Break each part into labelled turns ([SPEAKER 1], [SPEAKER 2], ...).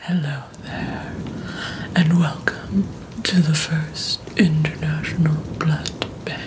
[SPEAKER 1] Hello there, and welcome to the first International Blood Bank.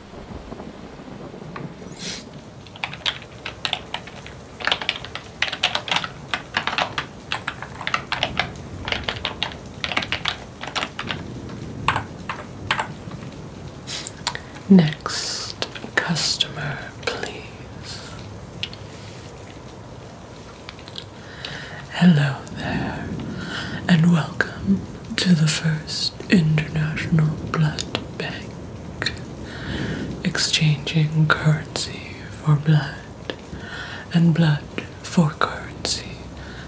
[SPEAKER 1] Next customer, please. Hello there, and welcome to the First International Blood Bank, exchanging currency for blood and blood for currency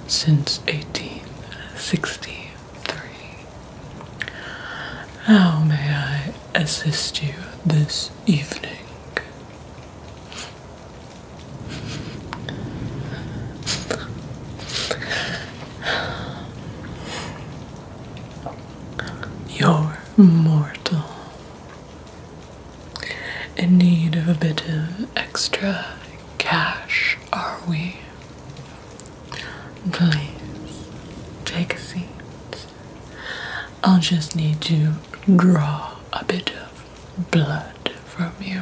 [SPEAKER 1] since 1863. How may I assist you this evening? You're mortal. In need of a bit of extra cash, are we? Please take a seat. I'll just need to draw a bit of blood from you.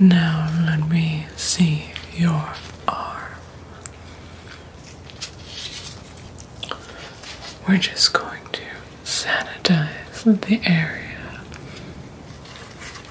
[SPEAKER 1] Now let me see your arm. We're just going to sanitize the area.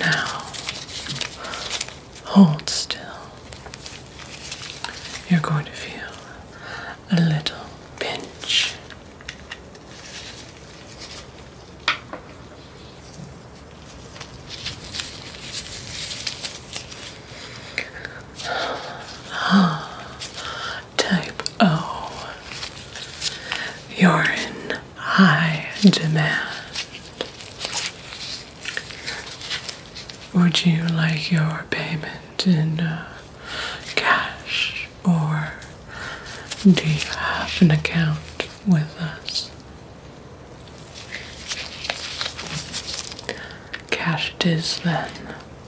[SPEAKER 1] Now, hold still. You're going to feel a little pinch. Type Oh, you're in high demand. Would you like your payment in uh, cash or do you have an account with us? Cash it is then.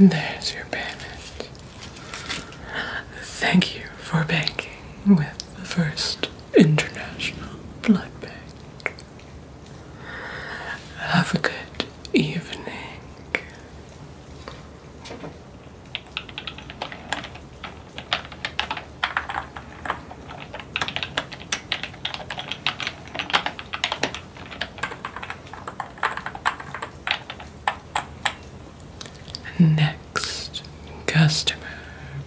[SPEAKER 1] There's your payment. Thank you for banking with the First International Blood Bank. Have a good evening. Next customer,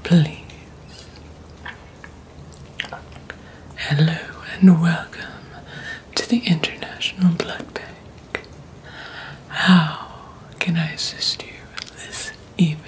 [SPEAKER 1] please. Hello and welcome to the International Blood Bank. How can I assist you this evening?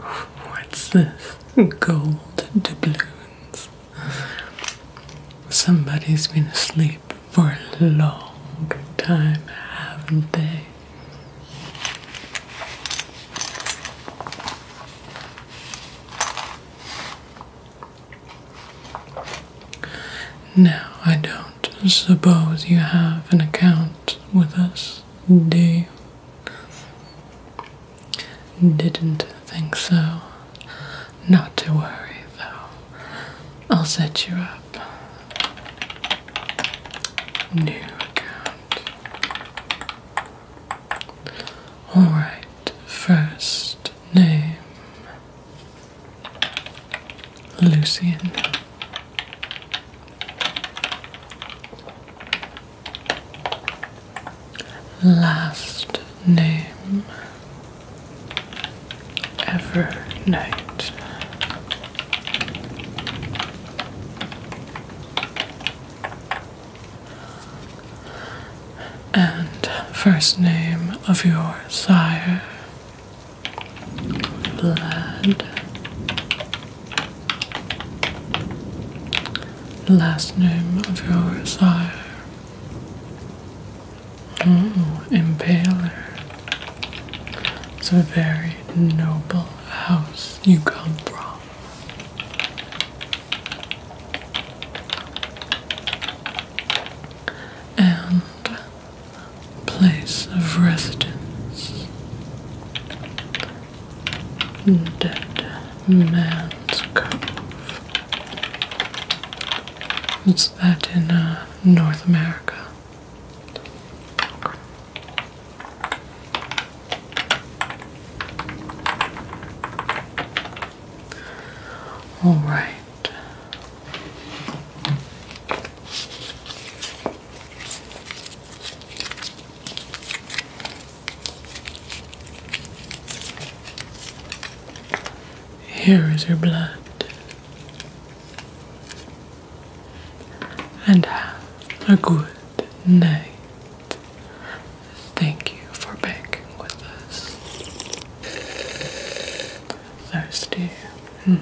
[SPEAKER 1] What's this? Gold doubloons. Somebody's been asleep for a long time, haven't they? Now, I don't suppose you have an account with us, do you? Didn't think so. Not to worry, though. I'll set you up. New account. Alright, first name. Lucian. Last name ever night. And first name of your sire, blood. Last name of your sire. Oh, Impaler. It's a very noble house you come from. And place of residence. Dead Man's Cove. It's that in uh, North America. All right. Here is your blood. And have a good night. Thank you for banking with us. Thirsty. Mm.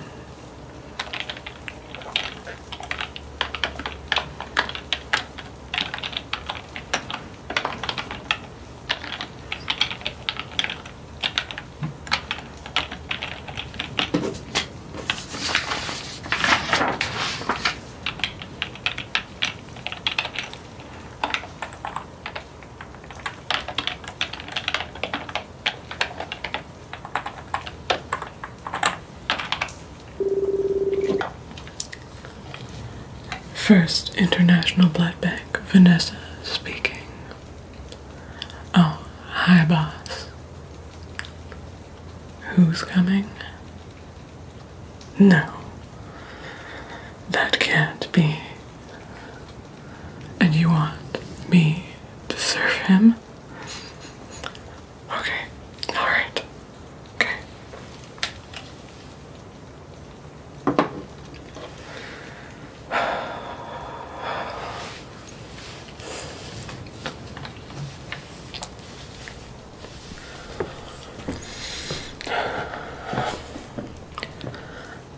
[SPEAKER 1] First International Blood Bank, Vanessa speaking. Oh, hi, boss. Who's coming? No, that can't be. And you want me to serve him? Okay, alright. Okay.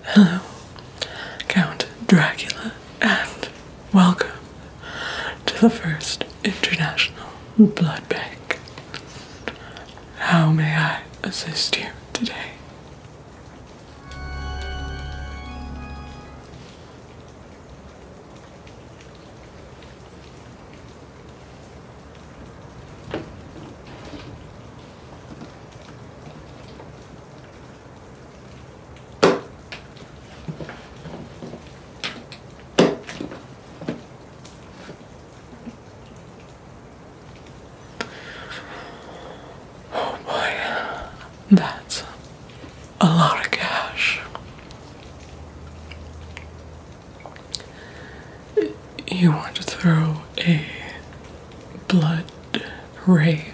[SPEAKER 1] Hello, Count Dracula, and welcome to the first International Blood Bank. How may I assist you today? Oh boy, that's a lot of cash. You want to throw a blood rave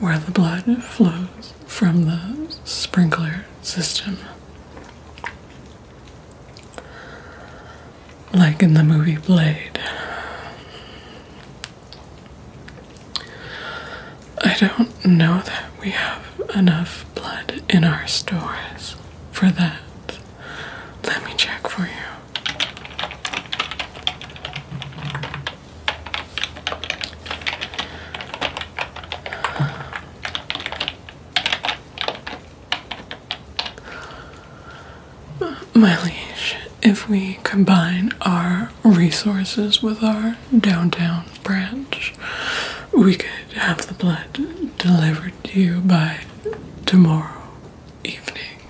[SPEAKER 1] where the blood flows from the sprinkler system. Like in the movie Blade. I don't know that we have enough blood in our stores for that. Let me check for you. My liege, if we combine our resources with our downtown branch. We could have the blood delivered to you by tomorrow evening.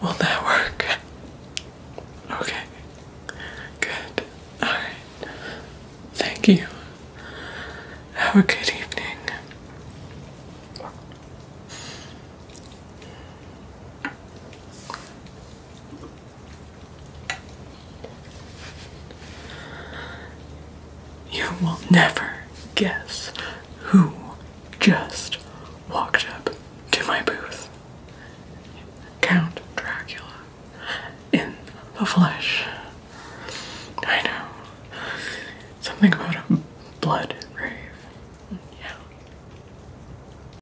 [SPEAKER 1] Will that work? Okay. Good. Alright. Thank you. Have a good evening. You will never guess who just walked up to my booth. Count Dracula in the flesh. I know. Something about a blood rave. Yeah.